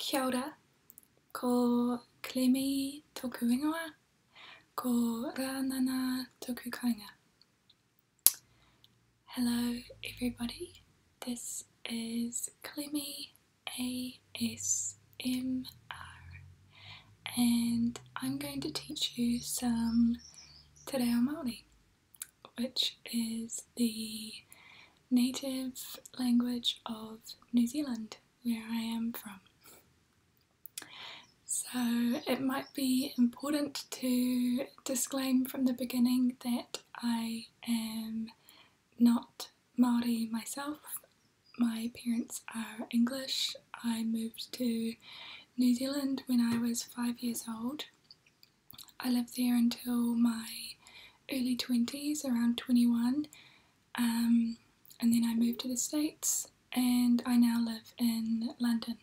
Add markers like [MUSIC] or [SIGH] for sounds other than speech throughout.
Kia ora, ko Clemei toku ingoa, ko Ranana toku kainga. Hello everybody, this is Klimi ASMR and I'm going to teach you some Te Reo Māori which is the native language of New Zealand, where I am from. So it might be important to disclaim from the beginning that I am not Maori myself. My parents are English. I moved to New Zealand when I was five years old I lived there until my early 20s, around 21, um, and then I moved to the States and I now live in London.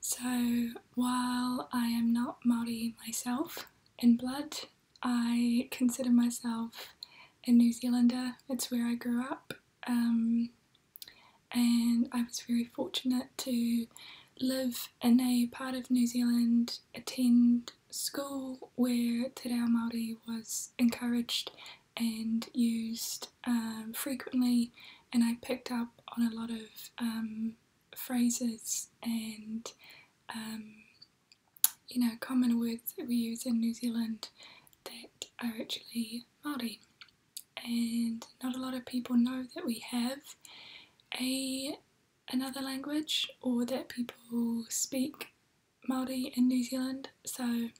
So while I am not Maori myself in blood, I consider myself a New Zealander. It's where I grew up, um, and I was very fortunate to live in a part of New Zealand, attend school where Te Reo Māori was encouraged and used um, frequently and I picked up on a lot of um, phrases and um, you know common words that we use in New Zealand that are actually Māori and not a lot of people know that we have a another language or that people speak Māori in New Zealand. So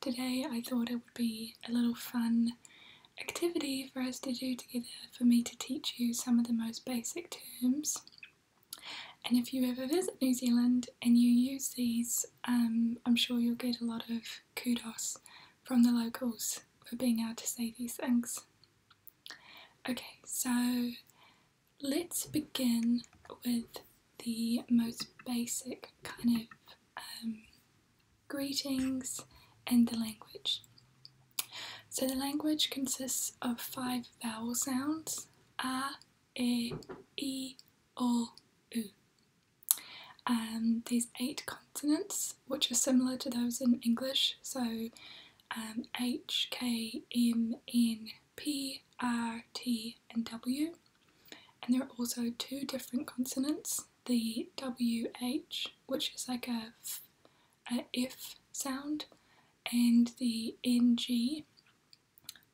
today I thought it would be a little fun activity for us to do together for me to teach you some of the most basic terms. And if you ever visit New Zealand and you use these, um, I'm sure you'll get a lot of kudos from the locals for being able to say these things. Okay, so let's begin with the most basic kind of um, greetings and the language. So the language consists of five vowel sounds a, e, i, o, u. and um, these eight consonants, which are similar to those in English, so um, H, K, M, N, P, R, T and W. And there are also two different consonants, the WH, which is like a, f, a F sound, and the NG,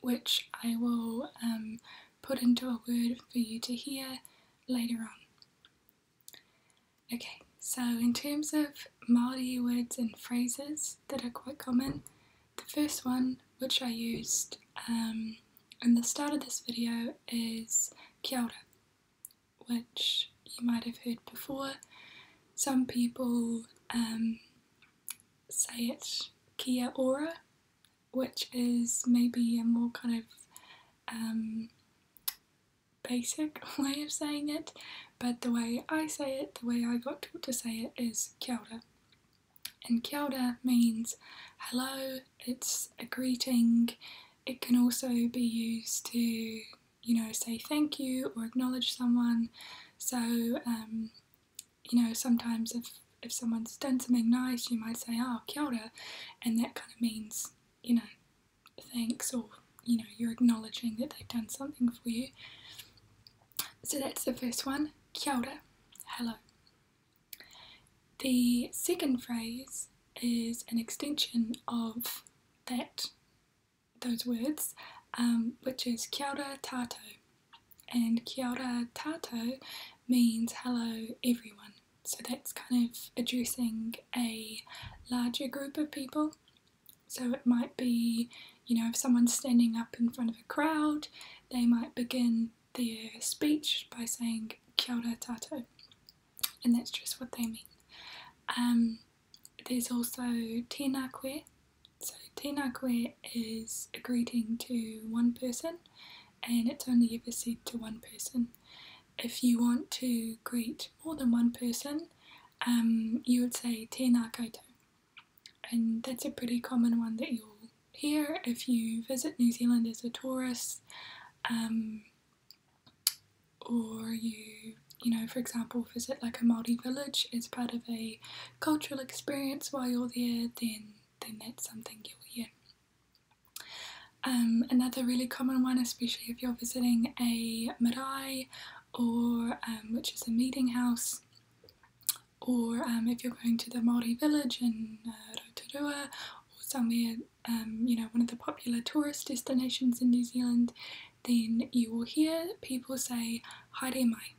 which I will um, put into a word for you to hear later on. Okay, so in terms of Māori words and phrases that are quite common, the first one which I used um, in the start of this video is kia ora, which you might have heard before. Some people um, say it kia ora, which is maybe a more kind of um, basic [LAUGHS] way of saying it, but the way I say it, the way I got taught to say it, is kia ora. And kia ora means hello, it's a greeting. It can also be used to, you know, say thank you or acknowledge someone. So, um, you know, sometimes if, if someone's done something nice, you might say, oh, kia ora, and that kind of means, you know, thanks or you know you're acknowledging that they've done something for you. So that's the first one, kia ora, hello. The second phrase is an extension of that, those words, um, which is kia ora tato. And kia ora tato means hello everyone. So that's kind of addressing a larger group of people so it might be, you know, if someone's standing up in front of a crowd, they might begin their speech by saying kia ora tato, and that's just what they mean. Um, there's also tēnā koe. So tēnā koe is a greeting to one person, and it's only ever said to one person. If you want to greet more than one person, um, you would say tēnā koutou and that's a pretty common one that you'll hear if you visit New Zealand as a tourist um, or you you know for example visit like a Māori village as part of a cultural experience while you're there then then that's something you'll hear. Um, another really common one, especially if you're visiting a marae or um, which is a meeting house, or um, if you're going to the Māori village in uh, Rotorua or somewhere, um, you know, one of the popular tourist destinations in New Zealand, then you will hear people say haere mai.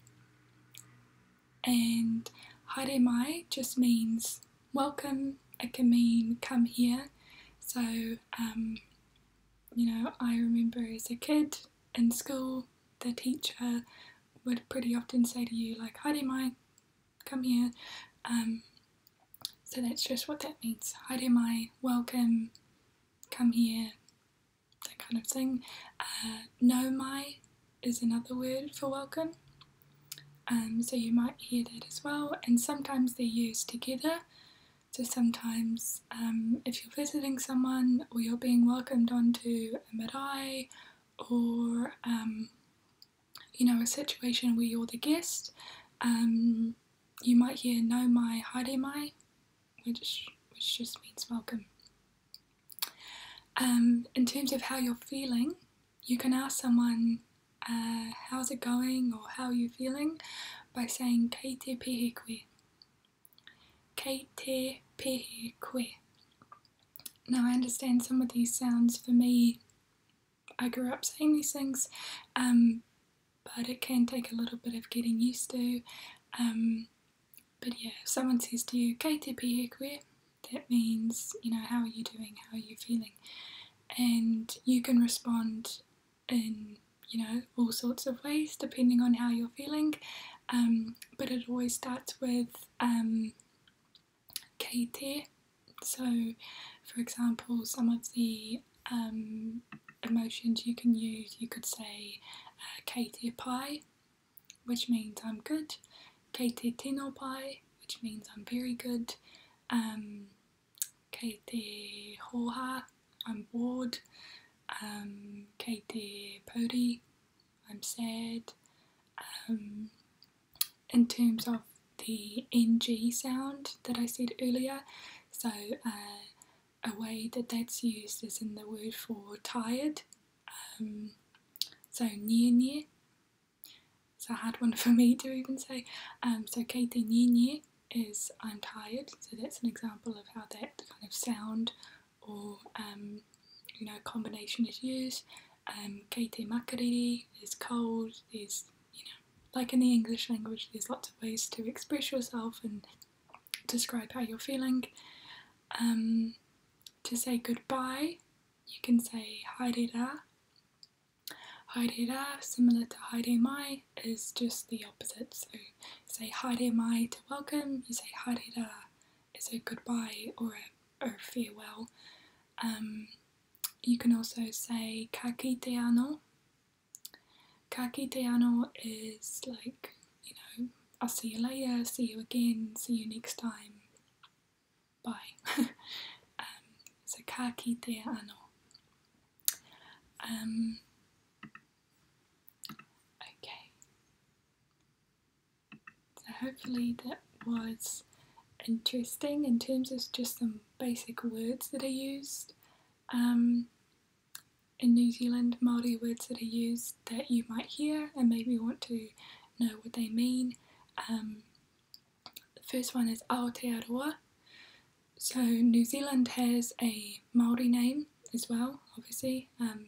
And haere mai just means welcome, it can mean come here. So you know, I remember as a kid in school, the teacher would pretty often say to you, like, Haere my, come here. Um, so that's just what that means. Haere my, welcome, come here, that kind of thing. Uh, no my, is another word for welcome. Um, so you might hear that as well, and sometimes they're used together. So sometimes, um, if you're visiting someone or you're being welcomed onto a marae or um, you know a situation where you're the guest, um, you might hear "no mai haere mai," which which just means welcome. Um, in terms of how you're feeling, you can ask someone uh, how's it going or how are you feeling by saying "kei te K Now I understand some of these sounds for me. I grew up saying these things, um, but it can take a little bit of getting used to. Um, but yeah, if someone says to you, K that means, you know, how are you doing? How are you feeling? And you can respond in you know, all sorts of ways depending on how you're feeling. Um, but it always starts with um, So, for example, some of the um, emotions you can use, you could say uh, keite which means I'm good, keite tino pai, which means I'm very good, um, keite hoha, I'm bored, um, Katie Pody, I'm sad. Um, in terms of the NG sound that I said earlier, so uh, a way that that's used is in the word for tired, um, so near near. So I had [LAUGHS] one for me to even say. Um, so Katie near near is I'm tired, so that's an example of how that kind of sound or um, you know combination is used. Um, Katie Makariri, is cold, Is you know like in the English language, there's lots of ways to express yourself and describe how you're feeling. Um, to say goodbye, you can say haere ra. Haere ra, similar to haere mai, is just the opposite. So say haere mai to welcome, you say haere ra is a goodbye or a, or farewell. Um, you can also say "kaki ano. "Kaki ano is like, you know, I'll see you later, see you again, see you next time, bye. [LAUGHS] Um, so "kaki ano. Um, okay, so hopefully that was interesting in terms of just some basic words that are used um, in New Zealand, Māori words that are used that you might hear and maybe want to know what they mean. Um, the first one is Aotearoa. So New Zealand has a Māori name as well, obviously. Um,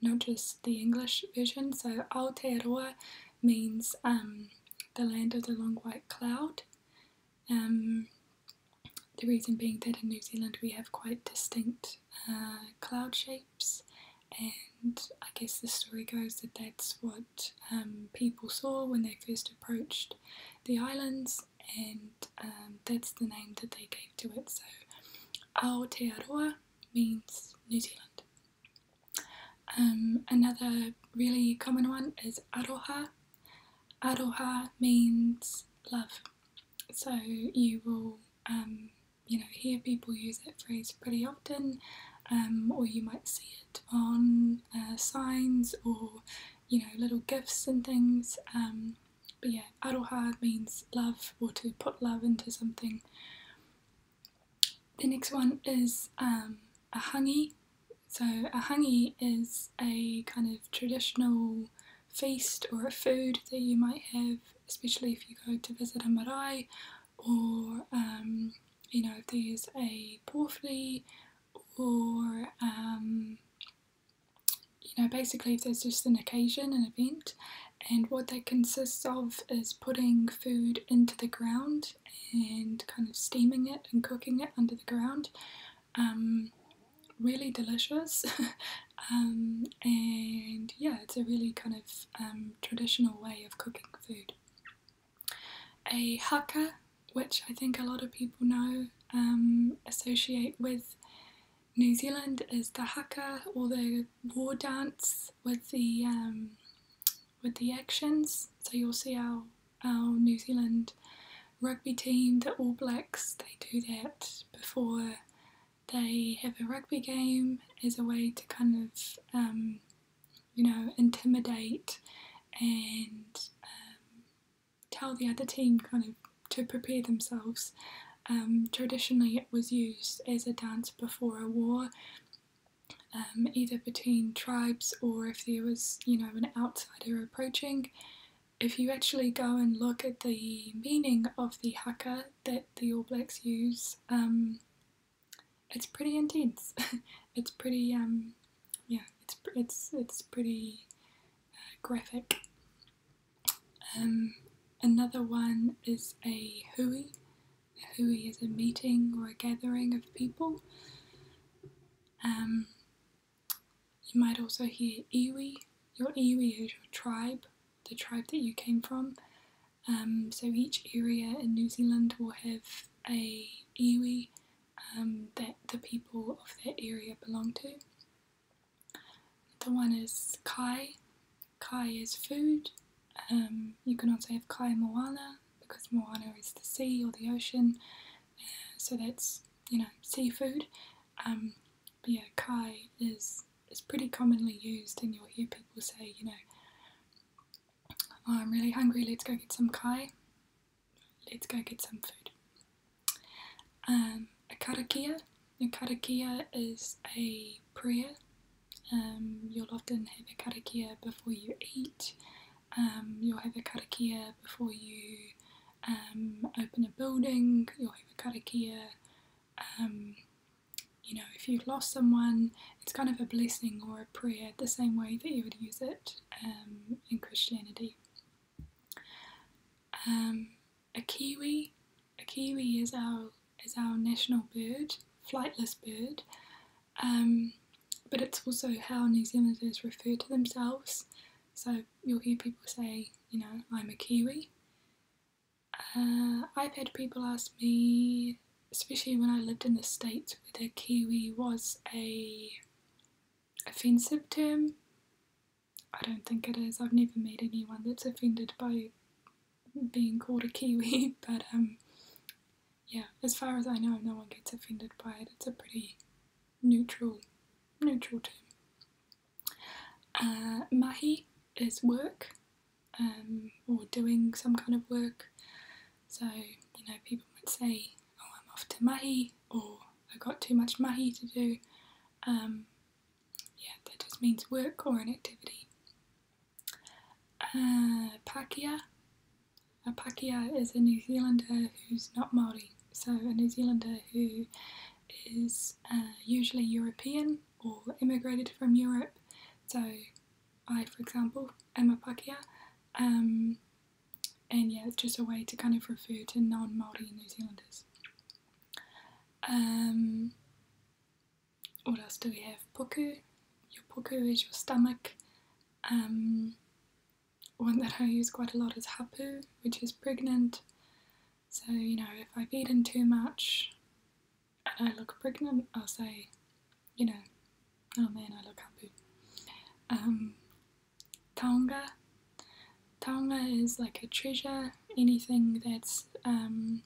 not just the English version. So Aotearoa means um, the land of the long white cloud. Um, the reason being that in New Zealand we have quite distinct uh, cloud shapes, and I guess the story goes that that's what um, people saw when they first approached the islands, and that's the name that they gave to it. So Aotearoa means New Zealand. Um, another really common one is aroha. Aroha means love. So you will, um, you know, hear people use that phrase pretty often, um, or you might see it on uh, signs or, you know, little gifts and things. But yeah, aroha means love or to put love into something. The next one is um, a hangi. So a hangi is a kind of traditional feast or a food that you might have, especially if you go to visit a marae or um, you know if there's a porphyry or um, you know, basically if there's just an occasion, an event, and what that consists of is putting food into the ground and kind of steaming it and cooking it under the ground. Um, really delicious, [LAUGHS] um, and yeah, it's a really kind of um, traditional way of cooking food. A haka, which I think a lot of people know, um, associate with New Zealand is the haka or the war dance with the um, with the actions. So you'll see our our New Zealand rugby team, the All Blacks, they do that before they have a rugby game as a way to kind of um, you know intimidate and um, tell the other team kind of to prepare themselves. Um, traditionally, it was used as a dance before a war, um, either between tribes or if there was, you know, an outsider approaching. If you actually go and look at the meaning of the haka that the All Blacks use, um, it's pretty intense. [LAUGHS] it's pretty, yeah, it's it's it's pretty uh, graphic. Um, another one is a hui. A hui is a meeting or a gathering of people. Um, you might also hear iwi. Your iwi is your tribe, the tribe that you came from. Um, so each area in New Zealand will have a iwi that the people of that area belong to. The one is Kai. Kai is food. Um, you can also have Kai Moana because Moana is the sea or the ocean. Uh, so that's, you know, seafood. Um, but yeah, Kai is, is pretty commonly used and you'll hear people say, you know, oh, I'm really hungry, let's go get some Kai. Let's go get some food. Um, a karakia the karakia is a prayer. Um, you'll often have a karakia before you eat. Um, you'll have a karakia before you um, open a building. You'll have a karakia. you know, if you've lost someone, it's kind of a blessing or a prayer, the same way that you would use it in Christianity a kiwi. A kiwi is our is our national bird, flightless bird, um, but it's also how New Zealanders refer to themselves. So you'll hear people say, you know, I'm a kiwi. Uh, I've had people ask me, especially when I lived in the States, whether Kiwi was a offensive term. I don't think it is. I've never met anyone that's offended by being called a Kiwi, [LAUGHS] but um, yeah, as far as I know, no one gets offended by it. It's a pretty neutral, neutral term. Uh, mahi is work um, or doing some kind of work. So, you know, people might say, oh, I'm off to mahi or I got too much mahi to do. Um, yeah, that just means work or an activity. Uh, Pakia. A Pakia is a New Zealander who's not Māori, so a New Zealander who is uh, usually European or immigrated from Europe. So I, for example, am a Pakia. Um, and yeah, it's just a way to kind of refer to non Māori New Zealanders. Um, what else do we have? Puku. Your puku is your stomach. Um, one that I use quite a lot is hapu, which is pregnant. So, you know, if I've eaten too much and I look pregnant, I'll say, you know, oh man, I look hapu. Um, taonga. is like a treasure, anything that's um,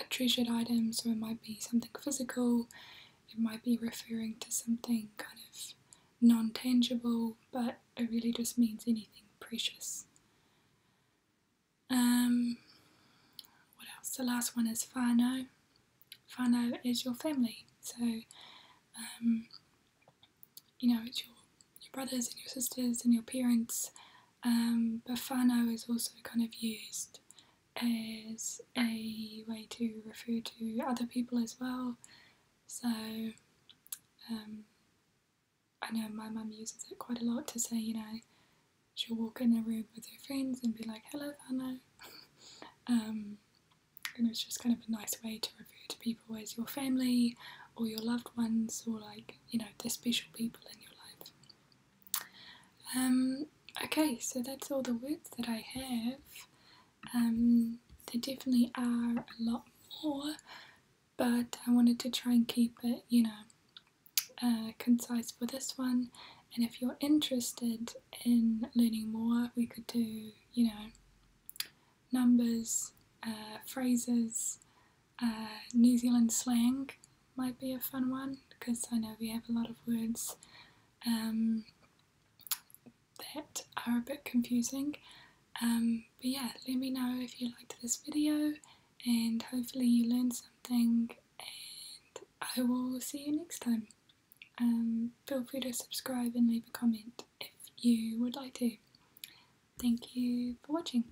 a treasured item, so it might be something physical, it might be referring to something kind of non tangible, but it really just means anything precious. Um, what else? The last one is Fano. Fano is your family, so um, you know, it's your, your brothers and your sisters and your parents. Um, Bafano is also kind of used as a way to refer to other people as well. So um, I know my mum uses it quite a lot to say, you know, she'll walk in a room with her friends and be like, hello, Fano. [LAUGHS] um, and it's just kind of a nice way to refer to people as your family or your loved ones or like, you know, the special people in your life. Um, okay, so that's all the words that I have. Um, there definitely are a lot more, but I wanted to try and keep it, you know, uh, concise for this one. And if you're interested in learning more, we could do, you know, numbers, uh, phrases, uh, New Zealand slang might be a fun one because I know we have a lot of words um, that are a bit confusing. Um, but yeah, let me know if you liked this video and hopefully you learned something and I will see you next time. Um, feel free to subscribe and leave a comment if you would like to. Thank you for watching.